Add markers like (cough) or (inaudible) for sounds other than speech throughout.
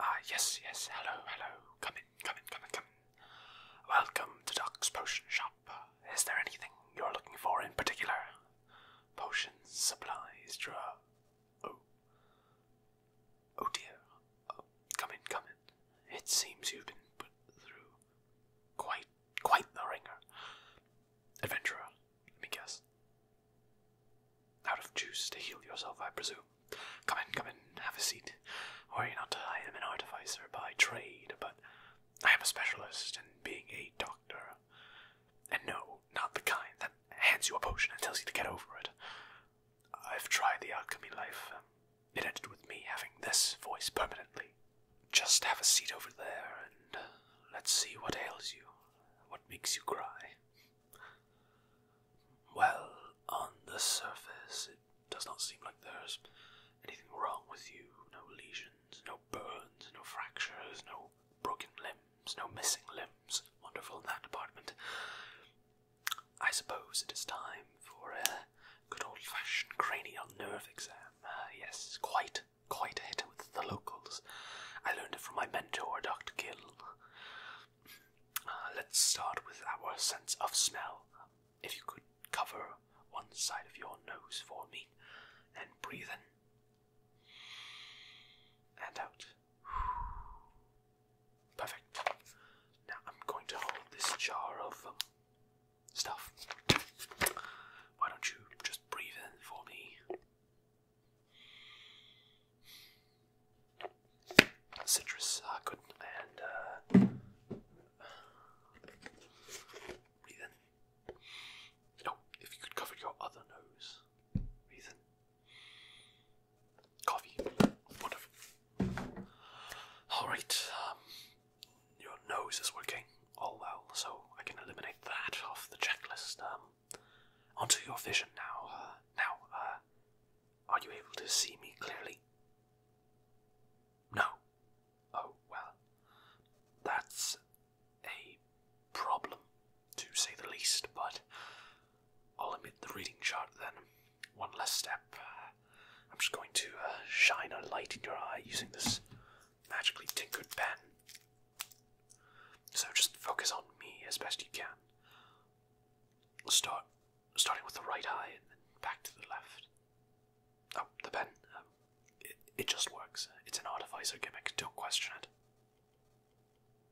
Ah, yes, yes, hello, hello. Come in, come in, come in, come in. Welcome to Doc's Potion Shop. Is there anything you're looking for in particular? Potions, supplies, draw. Oh. Oh dear. Oh, come in, come in. It seems you've been put through quite, quite the ringer. Adventurer, let me guess. Out of juice to heal yourself, I presume. Come in, come in, have a seat. Worry not, I am an artificer by trade, but I am a specialist in being a doctor. And no, not the kind that hands you a potion and tells you to get over it. I've tried the alchemy life. it ended with me having this voice permanently. Just have a seat over there and let's see what ails you, what makes you cry. Well, on the surface, it does not seem like there's anything wrong with you. No lesions, no burns, no fractures, no broken limbs, no missing limbs. Wonderful in that department. I suppose it is time for a good old fashioned cranial nerve exam. Uh, yes, quite quite a hit with the locals. I learned it from my mentor, Dr. Gill. Uh, let's start with our sense of smell. If you could cover one side of your nose for me, and breathe in and out. Perfect. Now I'm going to hold this jar of um, stuff. Why don't you just breathe in for me? citrus, uh, good, and No, if you could cover your other nose, breathe Coffee, wonderful. All right, um, your nose is working oh well, so I can eliminate that off the checklist. Um, onto your vision now. Uh, now, uh, are you able to see me clearly? No. Oh well, that's a problem, to say the least. But I'll omit the reading chart then. One less step. Uh, I'm just going to shine a light in your eye using this magically tinkered pen. So just focus on me as best you can. Start starting with the right eye and then back to the left. Oh, the pen. Um, it, it just works. It's an artificer gimmick, don't question it.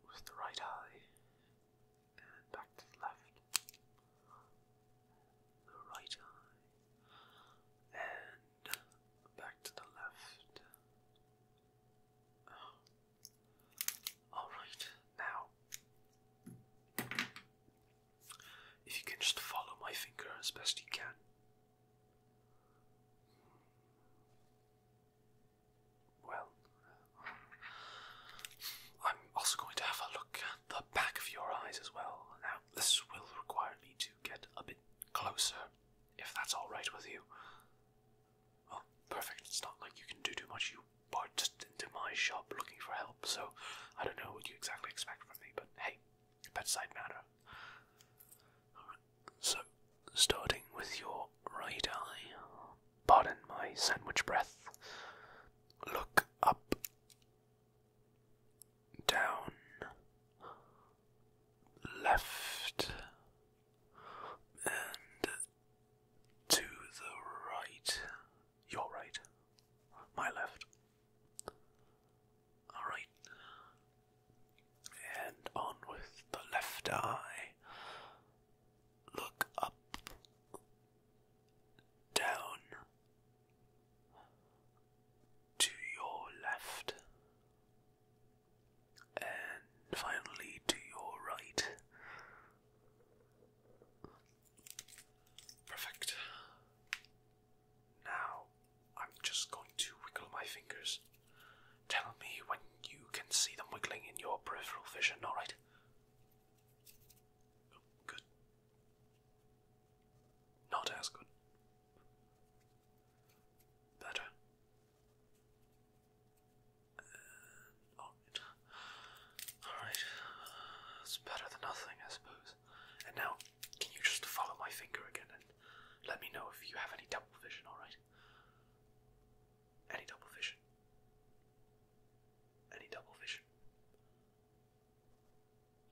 With the right eye and back to the left. The right eye and back to the left. Oh. Alright, now if you can just follow my finger as best you can. Well, I'm also going to have a look at the back of your eyes as well. Now, this will require me to get a bit closer, if that's alright with you. Well, oh, perfect. It's not like you can do too much. You barged into my shop looking for help, so I don't know what you exactly expect from me, but hey, bedside manner. Alright, so starting with your right eye, pardon my sandwich breath, look up down, left, and to the right. Your right, my left. Alright. And on with the left eye. Look up, down, to your left, and finally to your right. Perfect. Now I'm just going to wiggle my fingers. Tell me when you can see them wiggling in your peripheral vision, alright? good. Not as good. Better. Uh, oh, alright. Alright. It's better than nothing, I suppose. And now, can you just follow my finger again and let me know if you have any double vision, alright? Any double vision? Any double vision?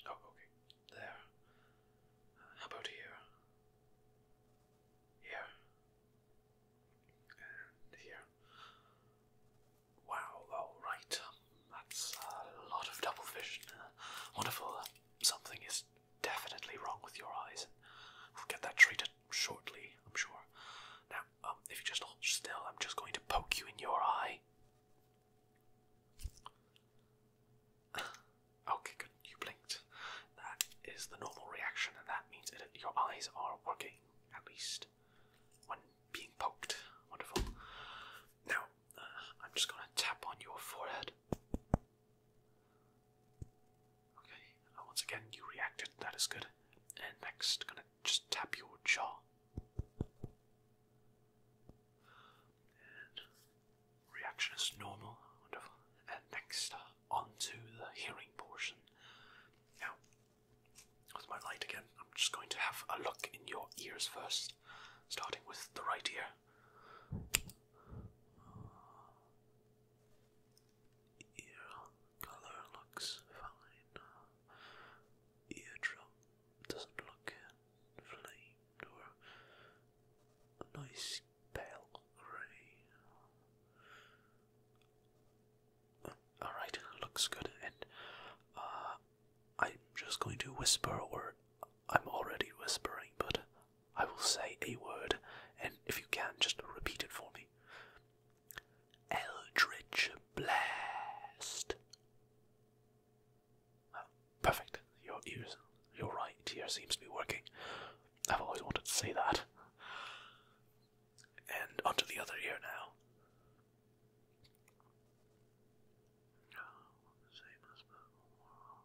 Oh, okay. There. how about here? Here. And here. Wow, alright. that's a lot of double vision. wonderful. something is definitely wrong with your eyes. We'll get that treated shortly, I'm sure. Now, um, if you just hold still, I'm just going to poke you in your eye. (sighs) okay, good. You blinked. That is the normal reaction, and that means that your eyes are working, at least when being poked. Wonderful. Now, uh, I'm just going to tap on your forehead. Okay, once again, you reacted. That is good. And next, gonna just tap your jaw reaction is normal. Wonderful. And next, uh, the hearing portion. Now, with my light again, I'm just going to have a look in your ears first, starting with the right ear. Ear color looks fine eardrum doesn't look inflamed or a nice pale grey. Oh, alright, looks good, and uh, I'm just going to whisper, or I'm already whispering, but I will say a word, and if you can, just repeat it for me. Eldritch Blast. Oh, perfect. Your ears, your right ear seems to be working. I've always wanted to say that. And onto the other ear now. Oh, same as before.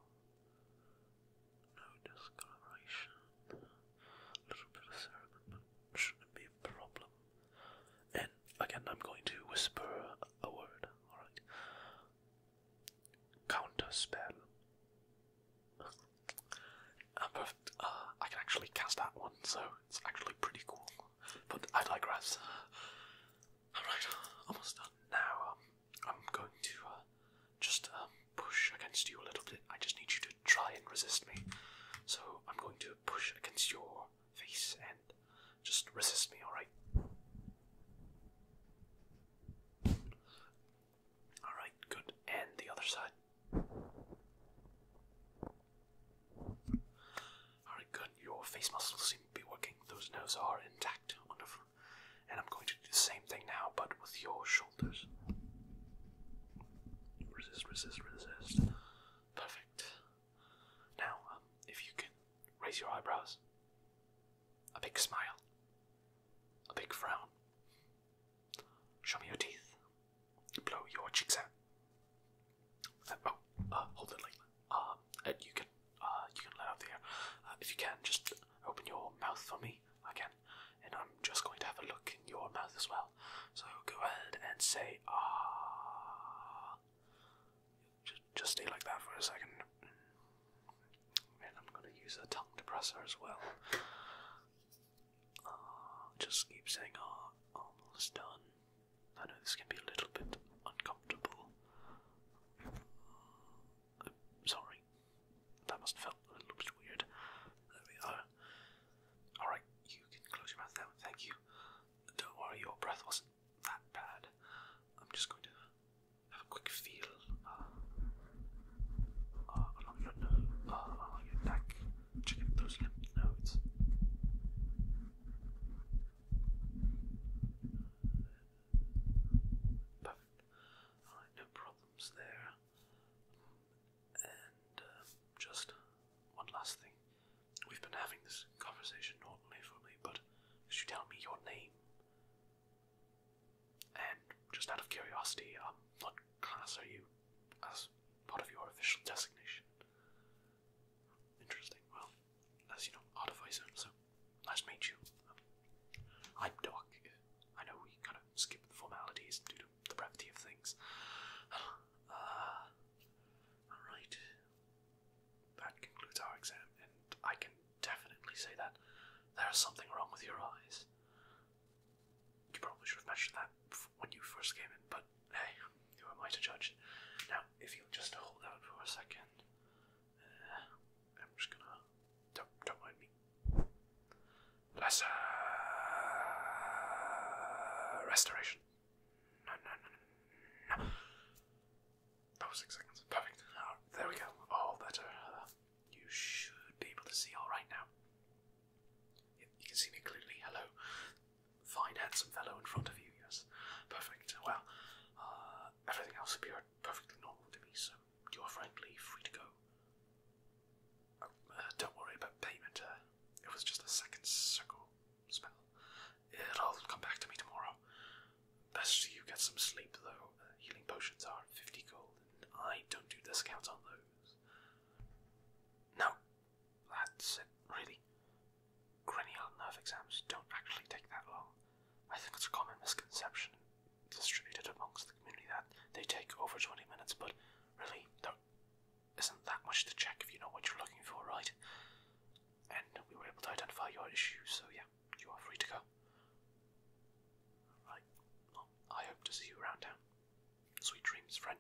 No discoloration a little bit of cerumen, shouldn't be a problem. And again, I'm going to whisper a word, alright? Counter spell. perfect. Uh, I can actually cast that one, so it's actually pretty cool. But I digress. Alright, almost done. Now um, I'm going to uh, just um, push against you a little bit. I just need you to try and resist me. So I'm going to push against your face and just resist me, alright? Alright, good. And the other side. Alright, good. Your face muscles seem to be working. Those nerves are intact. Wonderful. And I'm going to the same thing now, but with your shoulders. Resist, resist, resist. Perfect. Now, um, if you can raise your eyebrows, a big smile, a big frown. Show me your teeth. Blow your cheeks out. Uh, oh, uh, hold it like that. Uh, uh, you can, uh, you can let out the air. if you can, just open your mouth for me again and I'm just going to have a look in your mouth as well. So go ahead and say ah. Just, stay like that for a second. And I'm gonna use a tongue depressor as well. Ah, just keep saying ah. Almost done. I know this can be a little bit uncomfortable. sorry. That must have felt a little bit weird. There we are. Alright, you can close your mouth now, thank you. Don't worry, your breath wasn't that bad. I'm just going to have a quick feel uh, uh, uh, along, your neck. Check those lymph nodes. Perfect. Alright, no problem there. And um, just one last thing. We've been having this conversation normally for me, but could you tell me your name? And just out of curiosity, um, what class are you as part of your official designation? Interesting. Well, as you know, artificer, Nice to you. I'm Doc. I know we kind of skip the formalities due to the brevity of things. (sighs) Uh, alright. That concludes our exam, and I can definitely say that there is something wrong with your eyes. You probably should have mentioned that when you first came in, but hey, who am I to judge? Now, if you'll just hold out for a second, I'm just gonna. Don't, don't mind me. Lesser restoration. No, no, no, no, That was six seconds. Perfect. there we go. All better. you should be able to see all right now. Yep, you can see me clearly. Hello. Fine, handsome fellow in front of you. Yes. Perfect. Well, uh, everything else appeared perfectly normal to me, so you are frankly free to go. Oh, uh, don't worry about payment, uh, it was just a second circle spell. It'll come back to me tomorrow. Best you get some sleep, though. Uh, healing potions are 50 gold, and I don't do discounts on those. No, that's it, really. Cranial nerve exams don't actually take that long. I think it's a common misconception distributed amongst the community that they take over 20 minutes, but really, there isn't that much to check if you know what you're looking for, right? And we were able to identify your issue, so yeah, you are free to go. Right, I hope to see you around town. Sweet dreams, friend.